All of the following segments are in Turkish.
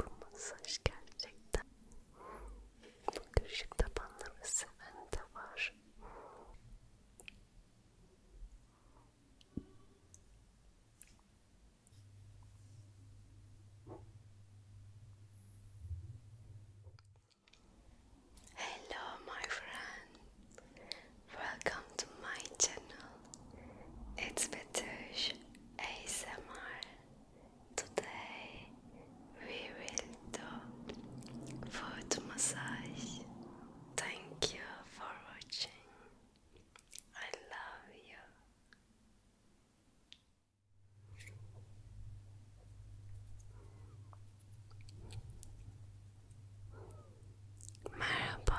Bu masaj gerçekten bu kırışık tabanları seven de var. Hello my friend. Welcome to my channel. It's Betush ASMR. Today we will do foot massage. Thank you for watching. I love you. Merhaba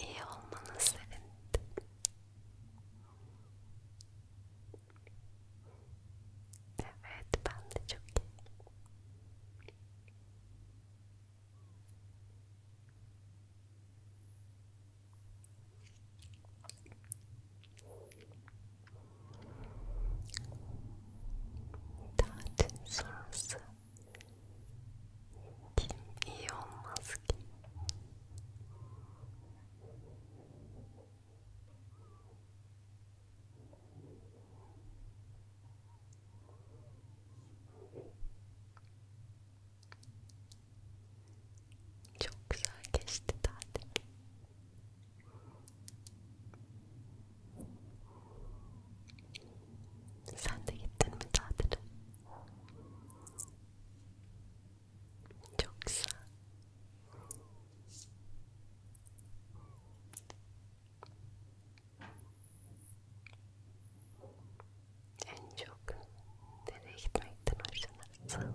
İyi olmanı sevindim. Evet, ben de çok iyi. Tatil sonrası kim iyi olmaz ki? Çok güzel geçti tatil. Sen de gittin mi tatile? Çok güzel. En çok nereye gitmekten hoşlanırsın?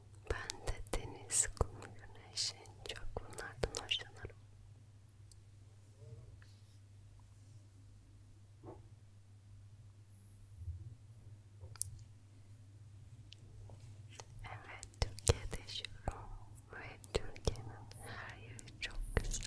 Ben de deniz, kum, güneşin çok bunlardan hoşlanırım. Evet, Türkiye'de yaşıyorum ve Türkiye'nin her yeri çok güzel.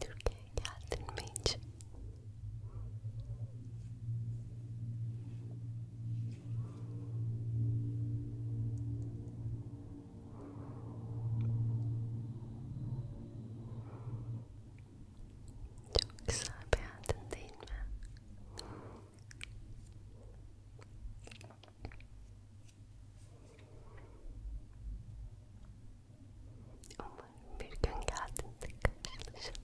Türkiye'ye geldin mi hiç? Çok güzel beğendin değil mi? Umarım bir gün geldiğinde karşılaşırız.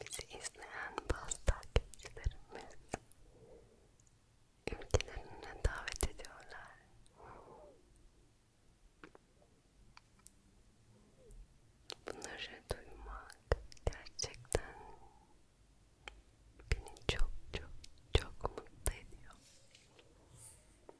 Bizi izleyen bazı takipçilerimiz ülkelerine davet ediyorlar. Bunları duymak gerçekten beni çok çok çok mutlu ediyor.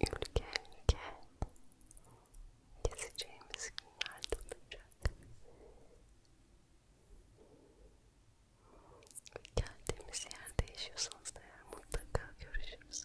Ülke ülke gezeceğimiz günlerde olacak. Geldiğimiz yerde yaşıyorsanız da yani mutlaka görüşürüz.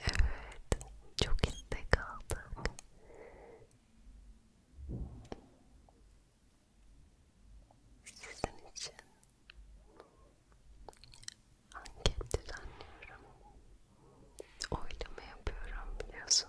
Evet, çok istek aldık. Sizin için anket düzenliyorum. Oylama yapıyorum biliyorsun.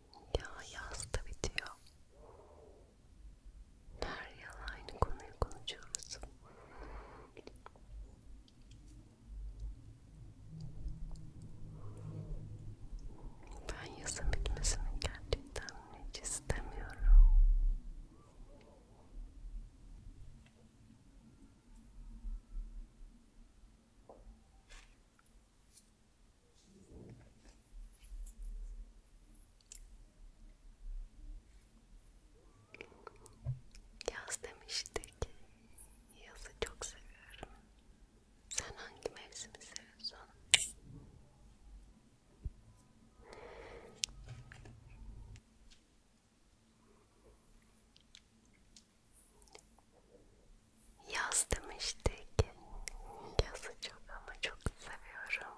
Ya yaz da bitiyor. Her yıl aynı konuyu konuşuyoruz. Ben yazın bitmesini gerçekten hiç istemiyorum. Yaz demiştik. Yazı çok seviyorum. Sen hangi mevsimi seviyorsun? Yaz demiştik. Yazı çok ama çok seviyorum.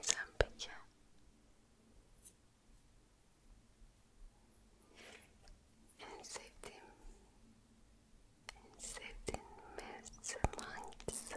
Sen peki? En sevdiğim, en sevdiğin mevsim hangisi?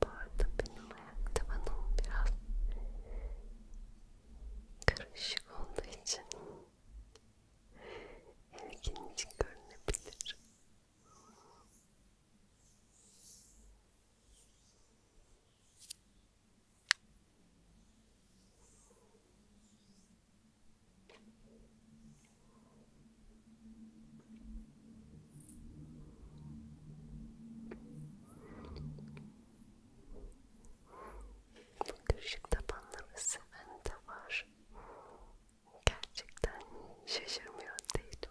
Bu arada benim ayak tabanım biraz karışık olduğu için ilginç görünebilir. Bu kırışık tabanları seven de var. Gerçekten şaşırmıyor değilim.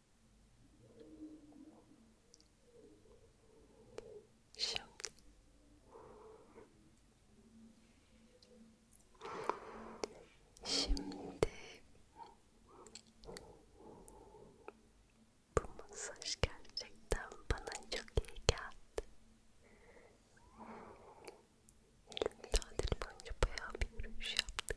Şimdi Şimdi bu masaj gerçekten bana çok iyi geldi. Elim tatil boyunca bayağı bir yürüyüş yaptık.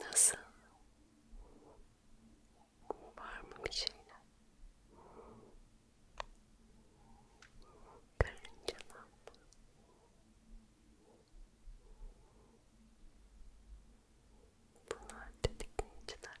Nasıl? Var mı bir şeyler? Karıncalar mı? Bunlar tetikleyiciler.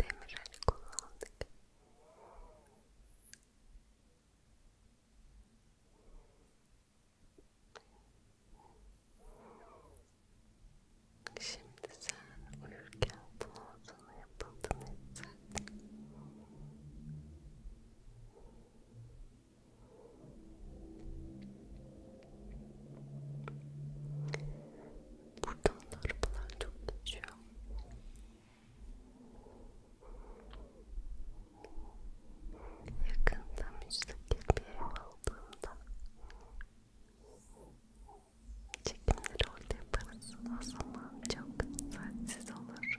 demir el kullandık. Şimdi sen uyurken bu olduğunu yapıldığını hissettin. Buradan arabalar çok geçiyor. Yakında müstakil bir ev aldığımda çekimleri orada yaparız. O zaman çok saatsiz olur.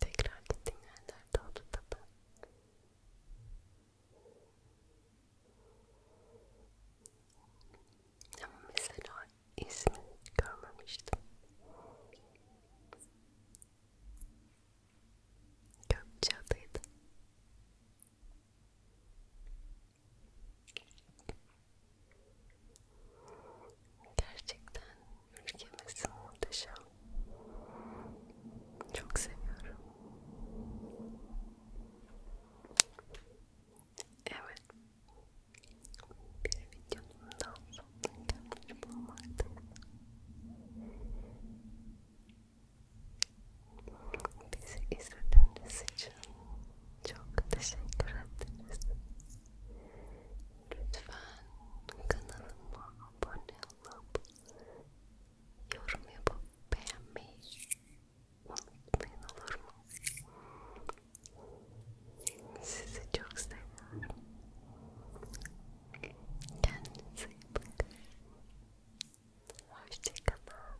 Tekrar gittiğin yerlerde oldu tabi. Ama mesela ismini görmemiştim. Gökçeada'ydı. Gerçekten ülkemiz muhteşem. Çok seviyorum. Evet. Bir videonun daha sonuna gelmiş bulunmaktayız. Bizi izlediğiniz için çok teşekkür ederiz. Lütfen kanalıma abone olup yorum yapıp beğenmeyi unutmayın olur mu? Sizi çok seviyorum. Kendinize iyi bakın. Hoşçakalın.